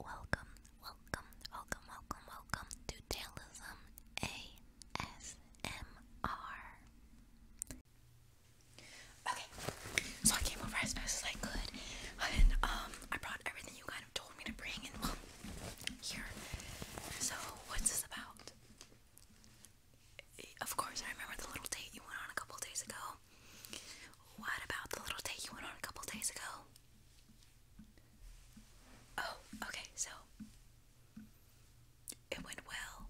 Welcome, welcome, welcome, welcome, welcome to Tailism ASMR. Okay, so I came over as fast as I could, and um, I brought everything you kind of told me to bring, and well, here. So, what's this about? Of course, I remember the little date you went on a couple days ago. What about the little date you went on a couple days ago? Oh, okay, so it went well.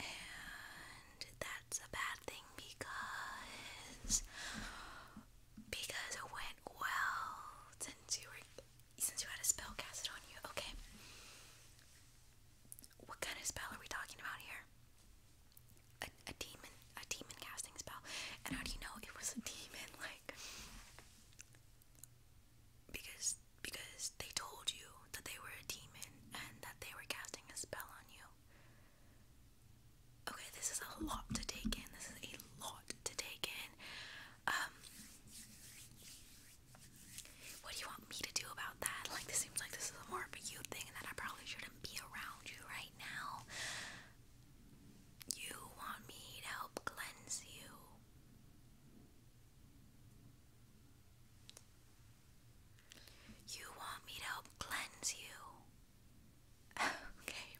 And that's a bad thing because because it went well since you were since you had a spell cast on you. Okay. What kind of spell are we talking about here? a, demon, a demon casting spell. And how do you know it was a demon? Like, because because they told you that they were a demon and that they were casting a spell on you. Okay, this is a lot to take in. This is a lot to take in. Um, what do you want me to do about that? Like, this seems like this is a more of a you thing, and that I probably shouldn't be around you right now. You want me to help cleanse you. You want me to help cleanse you. okay.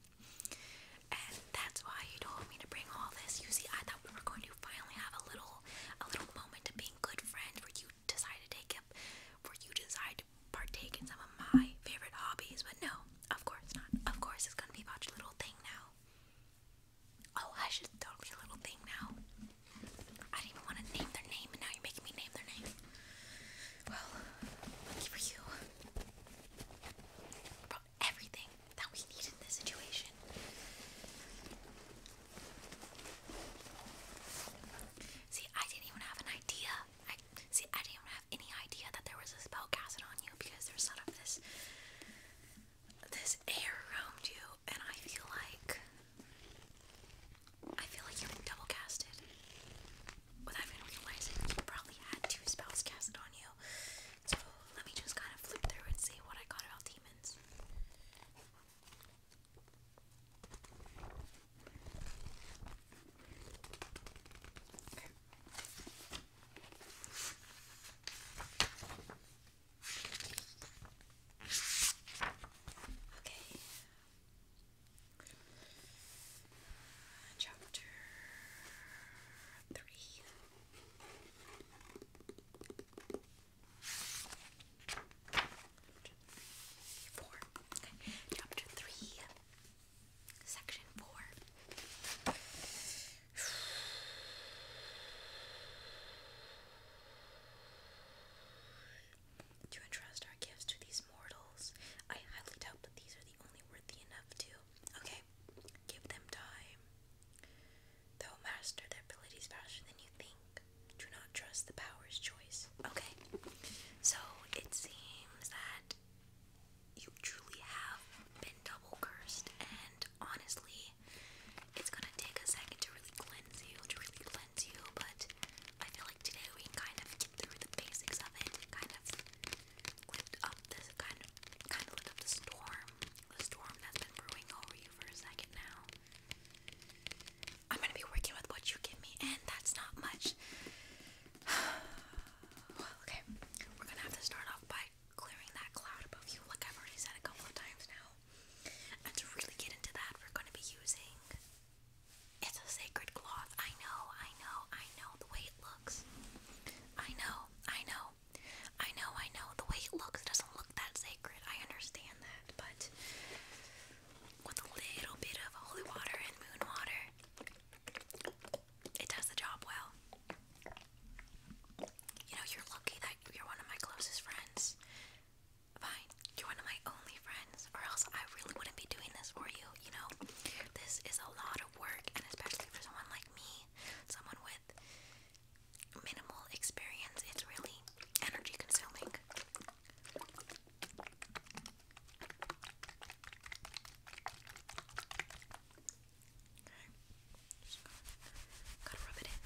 And that's why you told me to bring all this. You see, I thought we were going to finally have a little a little moment of being good friends where you decide to take up where you decide could partake in some of my favorite hobbies, but no, of course not. Of course, it's gonna be about your little thing now. Oh, I should tell me a little thing now. I didn't want to name their name, and now you're making me name their name. Well, for you. brought everything that we need in this situation. See, I didn't even have an idea. see, I didn't even any idea that there was a spell casted on you because there's sort of this this air around you, and I feel like I feel like you've double casted without even realizing you probably had two spells casted on you. So let me just kind of flip through and see what I got about demons. Okay. Okay. Chapter three. Four. Okay. Chapter three Section 4. To entrust our gifts to these mortals, I highly doubt that these are the only worthy enough to. Okay, give them time. They'll master their abilities faster than you think. Do not trust the power's choice. Okay, so it seems that you truly have been double cursed, and honestly, it's gonna take a second to really cleanse you, to really cleanse you, but I feel like today we can kind of get through the basics of it, kind of lift up this kind of kind of lift up the storm, the storm that's been brewing over you for a second now. I'm gonna be working with what you give me, and that's not much. okay, we're gonna have to start off by clearing that cloud above you, like I've already said a couple of times now. to really get into that, we're gonna be using it's a sacred cloth. I know, I know, I know the way it looks. I know, I know, I know, I know the way it looks. doesn't look that sacred. I understand that, but with a little bit of holy water and moon water, it does the job well. You know, you're lucky that you're one of my closest friends. Fine, you're one of my only friends, or else I really wouldn't be doing this for you. You know, this is a lot of work, and especially for someone like me, someone with minimal experience, it's really energy consuming gotta, rub it in.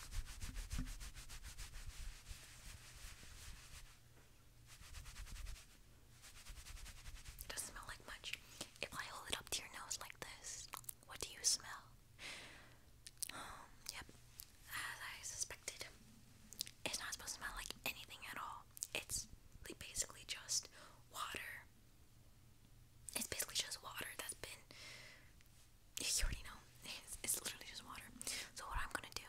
It doesn't smell like much. If I hold it up to your nose like this, what do you smell? Um, yep. As I suspected, it's not supposed to smell like anything at all. It's like basically just water. It's basically just water that's been. You already know. It's, it's literally just water. So what I'm gonna do,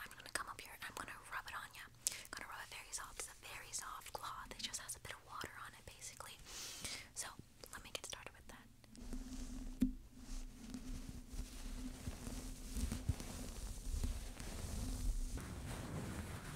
I'm gonna come up here and I'm gonna rub it on you. gonna rub it very soft. It's a very soft cloth. It just has a bit of water on it, basically. So let me get started with that.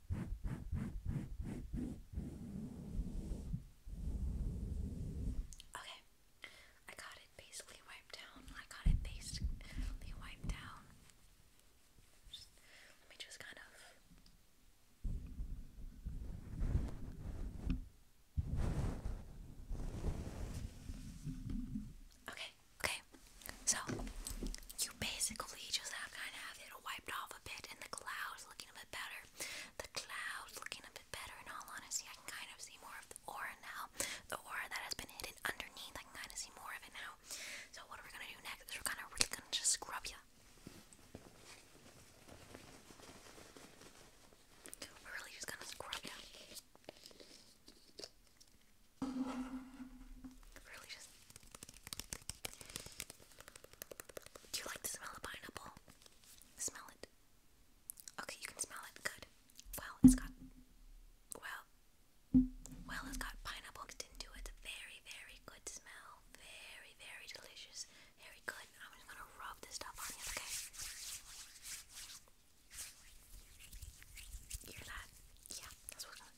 Okay, I got it basically wiped down. I got it basically wiped down. Just, let me just kind of. Okay, okay. So you basically just have kind of have it off a bit and the clouds looking a bit better. The clouds looking a bit better. In all honesty, I can kind of see more of the aura now. The aura that has been hidden underneath, I can kind of see more of it now. So what are we gonna do next? we're gonna really gonna just scrub you. We're really just gonna scrub you. Really just do you like the smell of pineapple? Smell it. Okay, you can smell it. Good. Well, it's got. Well. Well, it's got pineapple into it. very, very good smell. Very, very delicious. Very good. I'm just gonna rub this stuff on you, okay? hear that? Yeah, that's what I'm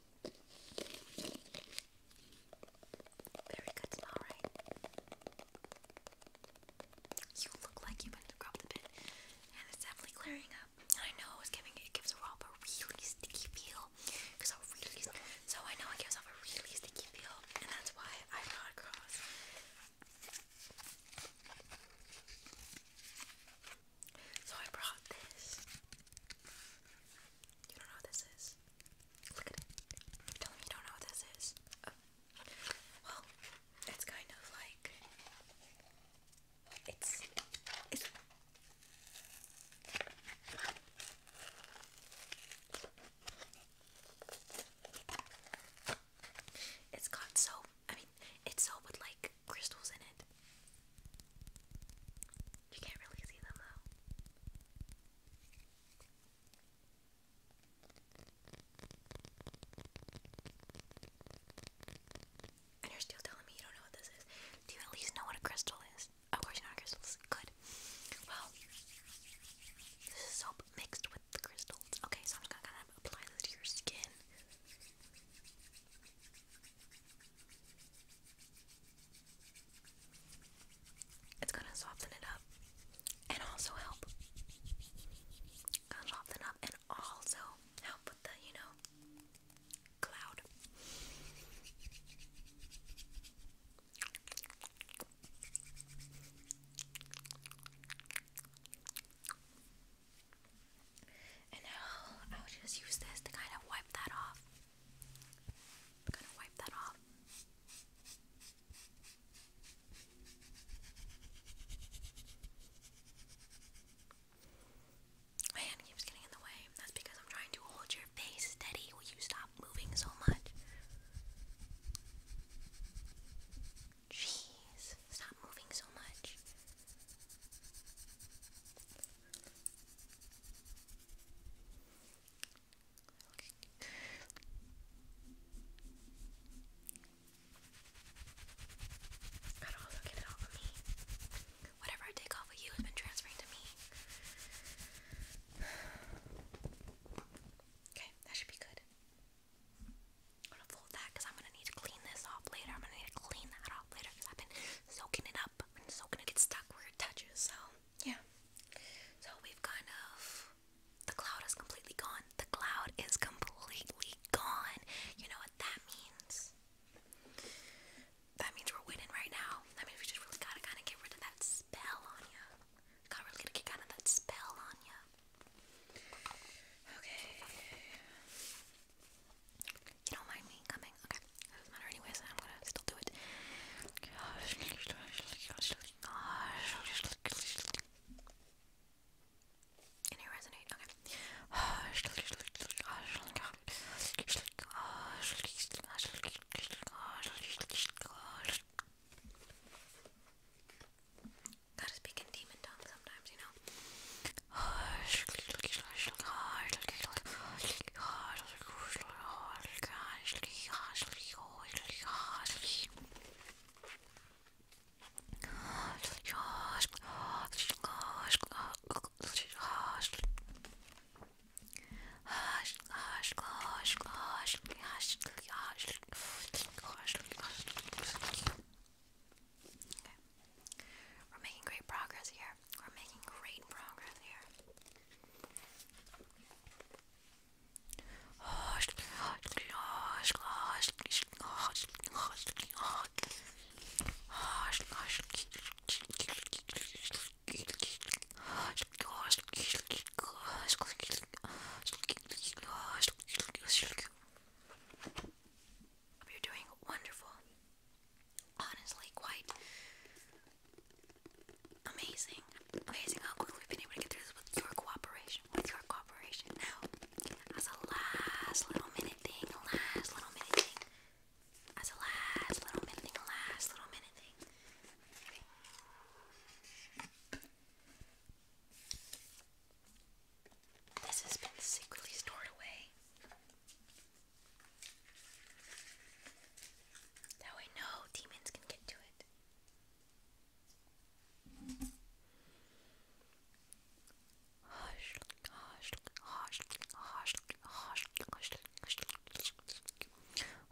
very good smell, You look like you went to grab the bit, and it's definitely clearing up. I know it's giving it gives a rob a really sticky feel, because I really so I know it gives off a really sticky feel, and that's why I brought across. So I brought this. You don't know what this is. Look at it. you don't know what this is. Oh. Well, it's kind of like it's it's it's got soap. I mean, it's soap with like crystals in it. You can't really see them though. And you're still telling me you don't know what this is. Do you at least know what a crystal is? Of course you know what Good. Well, this is soap mixed with crystals. Okay, so I'm just gonna apply this to your skin. It's gonna soften it up and also help. Gonna soften up and also help with the, you know, cloud. And now I'll just use this to kind of wipe that off. I'm gonna wipe that off. My hand keeps getting in the way. That's because I'm trying to hold your face steady. Will you stop moving so much? Jeez, stop moving so much. Gotta also get it off of me. Whatever I take off of you has been transferring to me. Okay, that should be good. I'm gonna fold that because I'm gonna need to clean this off later. I'm gonna need to clean that off later because I've been soaking it up and it's so gonna get stuck where it touches. So yeah. So we've kind of the cloud is completely gone. The cloud is completely gone. You know what that means? That means we're winning right now. I mean, we just really gotta kind of get rid of that spell on you. Got really get kind of that spell on you. Okay. You don't mind me coming? Okay doesn't matter anyway, I'm gonna still do it. Can Okay. Gotta speak demon tongue sometimes, you know. We're making great progress here. We're making great progress here. You're doing wonderful. Honestly, quite Amazing. Amazing how we've been able to get through this with your cooperation. With your cooperation. Now, as a last little minute thing, last little minute thing. As a last little minute thing, last little minute thing. This has been secretly stored away. That way no demons can get to it. Hush, hush, hush, hush, hush, hush, hush, hush,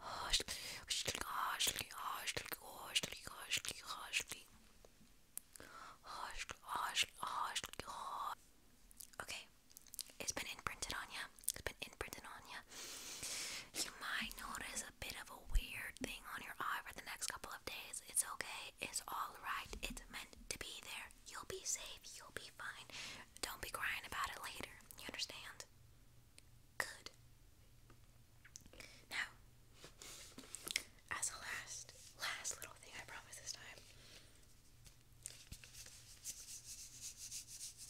hush, hush, hush, hush, Okay, it's been imprinted on ya it's on you. You might notice a bit of a weird thing on your eye for the next couple of days. It's okay. It's all right. It's meant to be there. You'll be safe. You'll be fine. Don't be crying about it later. You understand? Good. Now, as a last, last little thing I promise this time.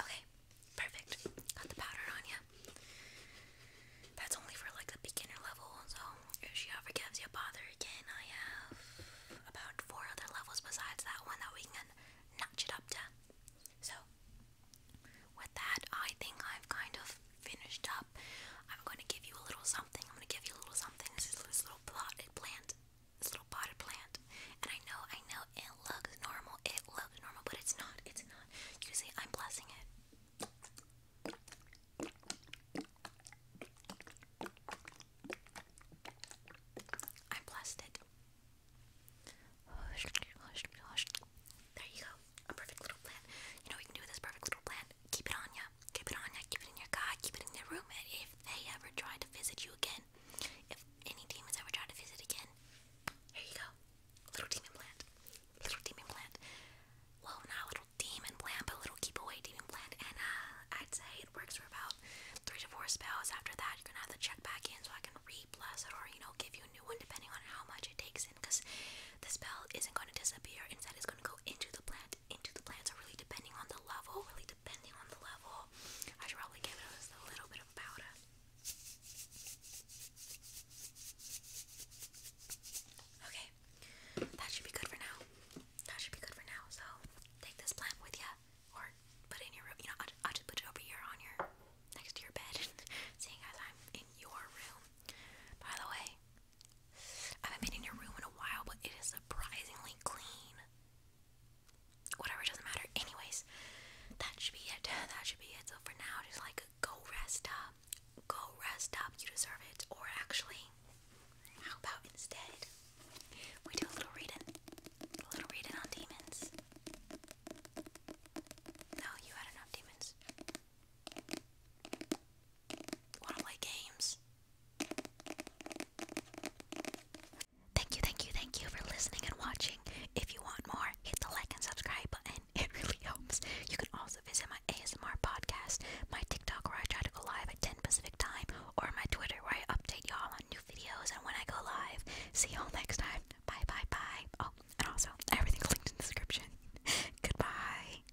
Okay, perfect. Got the powder on you. That's only for like the beginner level, so if she ever gets you a bother again, I have about four other levels besides that one that we can notch it up to. So, with that, I think I've kind of finished up, I'm going to give you a little something. I'm going to give you a little something. This is this little potted plant. This little potted plant. And I know, I know it looks normal. It looks normal, but it's not. It's not. You see, I'm blessing it. I blessed it. There you go. A perfect little plant. You know what you can do with this perfect little plant? Keep it on ya keep it on keep it in your car, keep it in your room, if they ever try to visit you again, if any demons ever try to visit again, here you go, little demon plant, little demon plant, well, not little demon plant, but little keep away demon plant, and uh, I'd say it works for about three to four spells, after that, you're gonna have to check back in so I can re it, or, you know, give you a new one, depending on how much it takes in, the spell isn't gonna disappear, instead it's gonna go into the plant, into the plan. So really depending on the level, really depending on the level, I should probably give it a little bit of powder. Okay, that should be good for now. That should be good for now. So take this plant with you, or put it in your room. You know, I'll just put it over here on your next to your bed, seeing as I'm in your room. By the way, I haven't been in your room in a while, but it is surprisingly clean. Whatever, doesn't matter. Anyways, that should be it. That should be it. So for now, just like go rest up. Go rest up. You deserve it. Or actually, how about instead we do a little reading, a little reading on demons. No, you had enough demons. Wanna play games? Thank you, thank you, thank you for listening and watching. If you want more, hit the like and subscribe button. It really helps. You can also visit my ASMR podcast, my TikTok where I try to go live at 10 Pacific time, or my Twitter where I update y'all on new videos and when I go live. See y'all next time. Bye bye bye. Oh, and also everything's linked in the description. Goodbye.